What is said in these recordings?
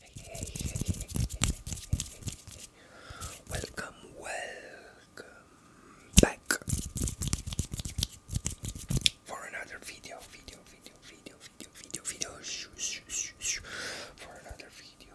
Hey, hey, hey, hey, hey, welcome, welcome back for another video, video, video, video, video, video, video, shoo, shoo, shoo, shoo, for another video.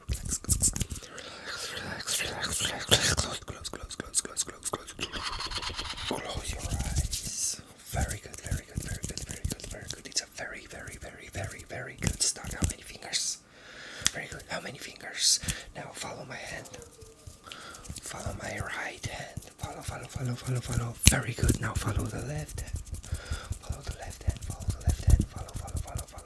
relax, relax, relax, relax, relax, relax, close, close, close, close, close, close, close, close your eyes. Very good, very good, very good, very good, very good. It's a very, very, very, very, very good start. How many fingers? Very good. How many fingers? Now follow my hand. Follow my right hand. Follow, follow, follow, follow, follow. Very good. Now follow the left hand. Follow the left hand. Follow the left hand. Follow, follow, follow, follow,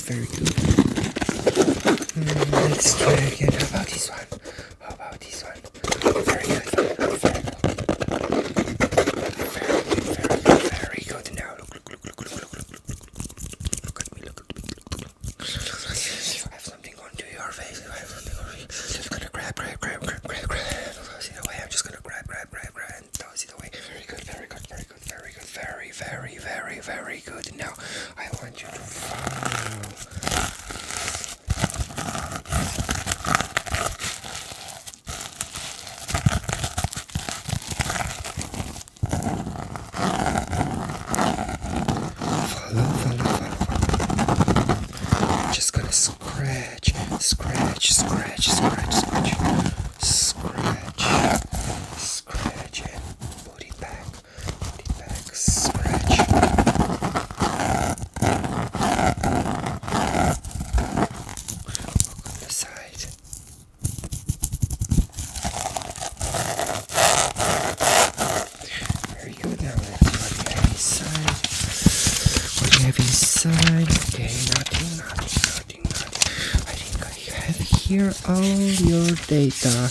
good, very good. Mm, let's try again. How about this one? How about this one? Very good. Very good. Very good. Very good. Very good. Now look, look, look, look, look, look, look, look, look, look at me. Look at me. I have something onto your face. I have something on you. Just gonna grab, grab, grab, grab, grab, grab. Toss it away. I'm just gonna grab, grab, grab, grab, and toss it away. Very good. Very good. Very good. Very good. Very, very, very, very good. Now. I want you to follow. Follow, follow, follow. just gonna scratch, scratch, scratch, scratch, scratch. Scratch, scratch it, put it back, the back scratch. Look on the side. Very Now let's see what we have inside. What we have inside? Okay, nothing, nothing, nothing, nothing. I think I have here all your data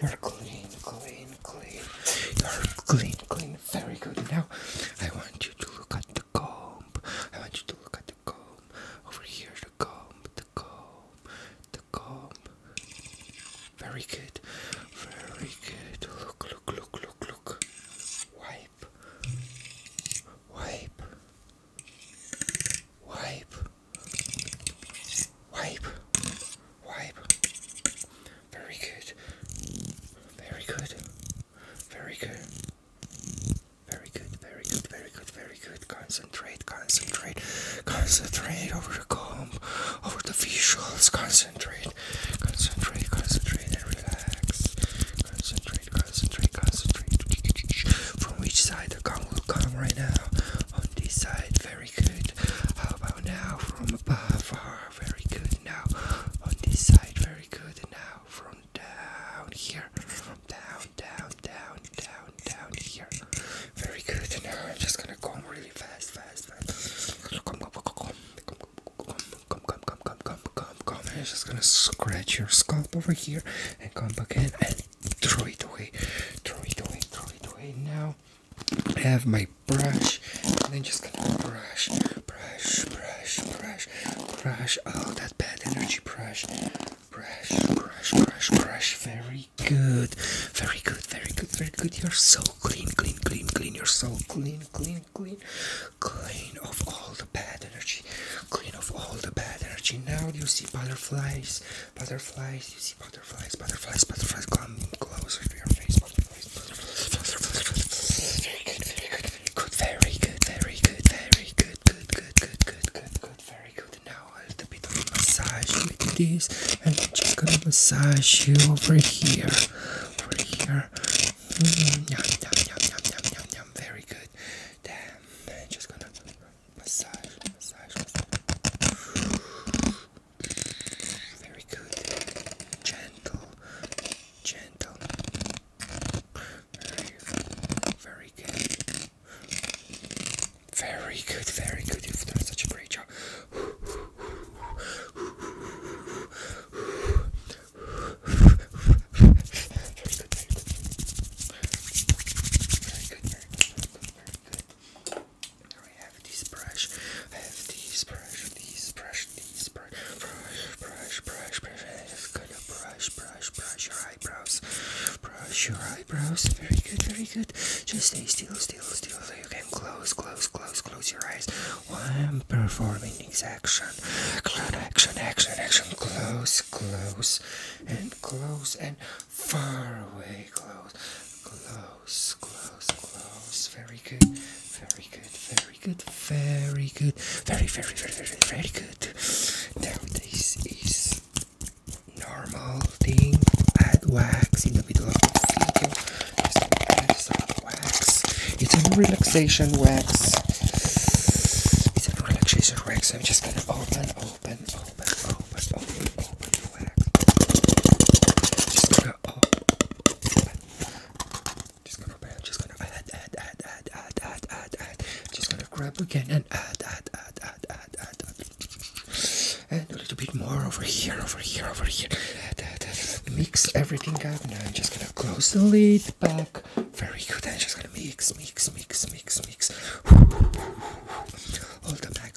You're clean, clean, clean. You're clean, clean. Very good. Now, I want you to look at the comb. I want you to look at the comb. Over here, the comb, the comb, the comb. Very good. Very good. Look, look, look, look, look. Wipe. Wipe. Wipe. Wipe. Wipe. Very good. Very good. Very good. Very good, very good, very good, very good. Concentrate, concentrate, concentrate over the comb, over the visuals. Concentrate, concentrate, concentrate, and relax. Concentrate, concentrate, concentrate. From which side the comb will come right now? On this side, very very good. How about now from above? very good. Now on this side, very good. Now from down here, down, down, down, down, down here. Very good. Now I'm just gonna go really fast, fast, fast. Come, come, come, come, come, come, come, come, come, come, come, come, come. I'm just gonna scratch your scalp over here and come back in and throw it away, throw it away, throw it away now have my brush and then just brush, brush, brush, brush, brush. Oh, that bad energy brush. Brush, brush, brush, brush. Very good. Very good, very good, very good. You're so clean, clean, clean, clean. You're so clean, clean, clean. Clean of all the bad energy. Clean of all the bad energy. Now you see butterflies. Butterflies, you see butterflies, butterflies, butterflies. Come closer to your face, butterflies, butterflies, butterflies. Very good, very good, good, very good, very good, very good, good, good, good, good, good, good, very good. Now a little bit of massage with this, and I'm just gonna massage you over here, over here. Mm, yum, yum, yum, yum, yum, yum, yum. Very good. Damn, I'm just gonna massage, massage, massage. Very good. Gentle. Gentle. Very, very good. Very good, very good. You've done such a great job. Very good, very good, very good, very good, very good, very good. Now I have this brush. I have this brush, this brush, this brush, brush, brush, brush, brush. I'm gonna brush, brush, brush your eyebrows. Brush your eyebrows. Very good, very good. Just stay still, still, still. So you can close, close, close, close your eyes. While I'm performing this action. Action, action, action, action. Close, close, and close, and far away, close, close, close, close. Very good, very good, very good, very good, very, very, very, very, very good. Now this is normal thing. Add wax in the middle of the video. Just add some wax. It's a relaxation wax. It's a relaxation wax. I'm just gonna open, open, open, open, open, open. Just gonna, oh, just gonna, add, add, add, add, add, add, Just gonna grab again and add, add, add, add, add, add, and a little bit more over here, over here, over here. Add, Mix everything up. Now I'm just gonna close the lid back. Very good. I'm just gonna mix, mix, mix, mix, mix. All the back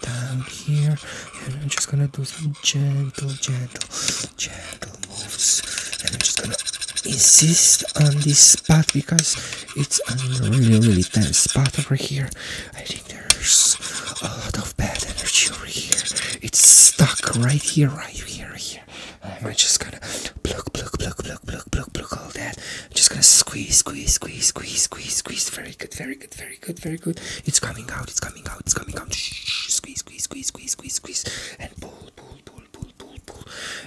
down here, and I'm just gonna do some gentle, gentle, gentle moves. And I'm just gonna insist on this spot because it's a really, really tense spot over here. I think there's a lot of bad energy over here. It's stuck right here, right here, right here. I'm just gonna pluck, pluck, pluck, pluck, pluck, pluck, pluck all that. I'm just gonna squeeze, squeeze, squeeze, squeeze, squeeze, squeeze. Very good, very very good, very good, very good. It's coming out, it's coming out, it's coming out. Shh, squeeze, squeeze, squeeze, squeeze, squeeze, squeeze, and pull, pull, pull, pull, pull, pull,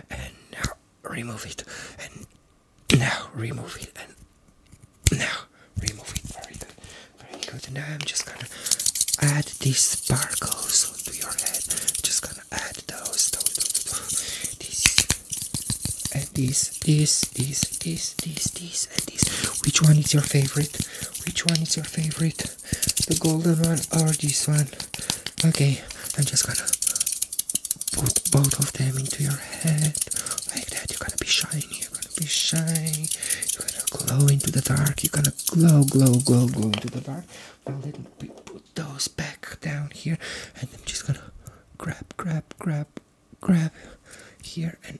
and now remove it, and now remove it, and now remove it. Very good, very good. And now I'm just gonna add these sparkles onto your head. Just gonna add those, those, those, those. these, and these, these these, these, these, these, and these. Which one is your favorite? Which one is your favorite? The golden one or this one? Okay, I'm just gonna put both of them into your head. Like that, you're gonna be shiny, you're gonna be shiny. You're gonna glow into the dark, you're gonna glow, glow, glow, glow into the dark. Well, let me put those back down here, and I'm just gonna grab, grab, grab, grab here and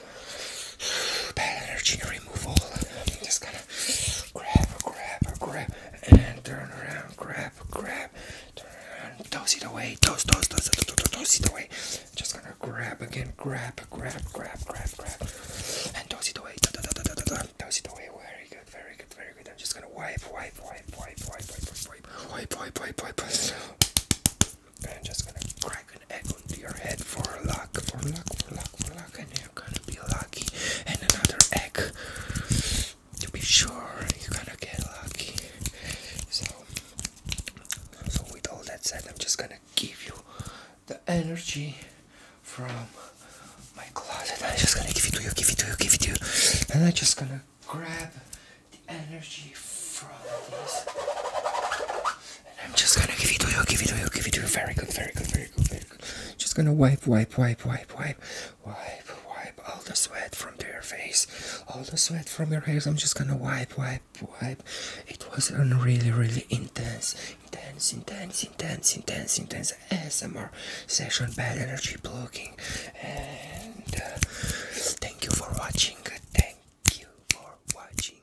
bad energy removal. I'm just gonna grab, grab, grab, and turn around, grab, grab, turn around, toss it away, toss, toss, toss, toss, toss, toss it away. Just gonna grab again, grab, grab, grab, grab, grab, and toss it away, toss it away. Very good, very good, very good. I'm just gonna wipe, wipe, wipe, wipe, wipe, wipe, wipe, wipe, wipe, wipe, wipe, wipe. And I'm just gonna crack an egg onto your head for luck, for luck, for luck, for luck, and gonna be lucky. And another egg. To be sure, you're gonna get lucky. So, so with all that said, I'm just gonna give you the energy from my closet. I'm just gonna give it to you, give it to you, give it to you, and I'm just gonna grab the energy from this. And I'm just gonna give it to you, give it to you, give it to you. Very good, very good, very good, very good. Just gonna wipe, wipe, wipe, wipe, wipe, wipe, wipe all the sweat from your face, all the sweat from your hairs. I'm just gonna wipe, wipe, wipe. It was a really, really intense, intense, intense, intense, intense, intense ASMR session, bad energy blocking. And uh, thank you for watching. Thank you for watching.